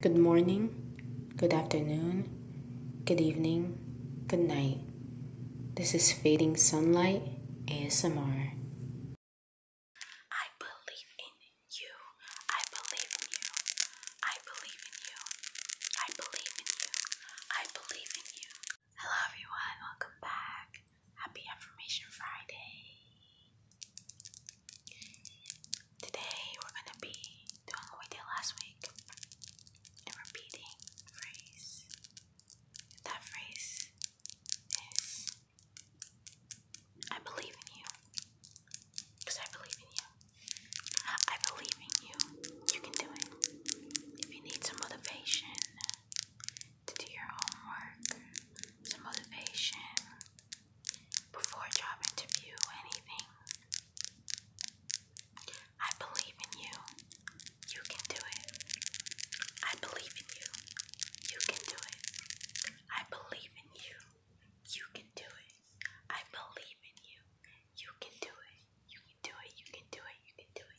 Good morning, good afternoon, good evening, good night. This is Fading Sunlight ASMR. I believe in you. I believe in you. I believe in you. I believe in you. I believe in you. Hello, everyone. Welcome back. Happy Affirmation Friday. Today we're gonna be doing what we did last week and repeating a phrase. That phrase is I believe in you. Because I believe in you. I believe in you. You can do it. If you need some motivation, to do your homework, some motivation before job interview, anything. I believe in you. You can do it. I believe in you. You can do it. I believe in you. You can do it. I believe in you. You can do it. You can do it. You can do it. You can do it.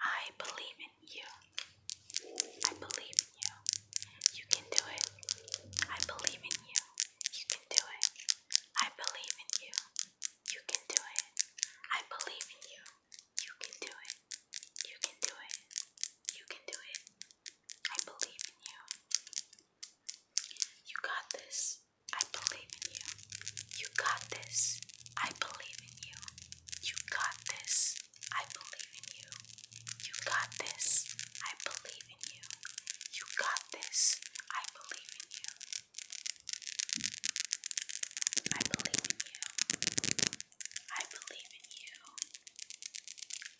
I believe in you. I believe in you. You can do it. I believe in you. You can do it. I believe in you. You can do it. I believe in you. You can do it. You can do it. You can do it. I believe in you. You got this. I believe in you. You got this. I believe in you. You got this. I believe in you. You got this. I believe in you. You got this. I believe in you. I believe in you. I believe in you.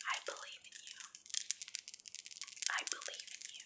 I believe in you. I believe in you.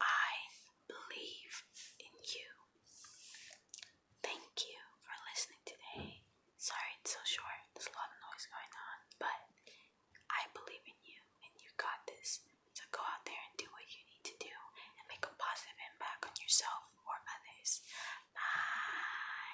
I believe in you. Thank you for listening today. Sorry it's so short, there's a lot of noise going on, but I believe in you and you got this. So go out there and do what you need to do and make a positive impact on yourself or others. Bye.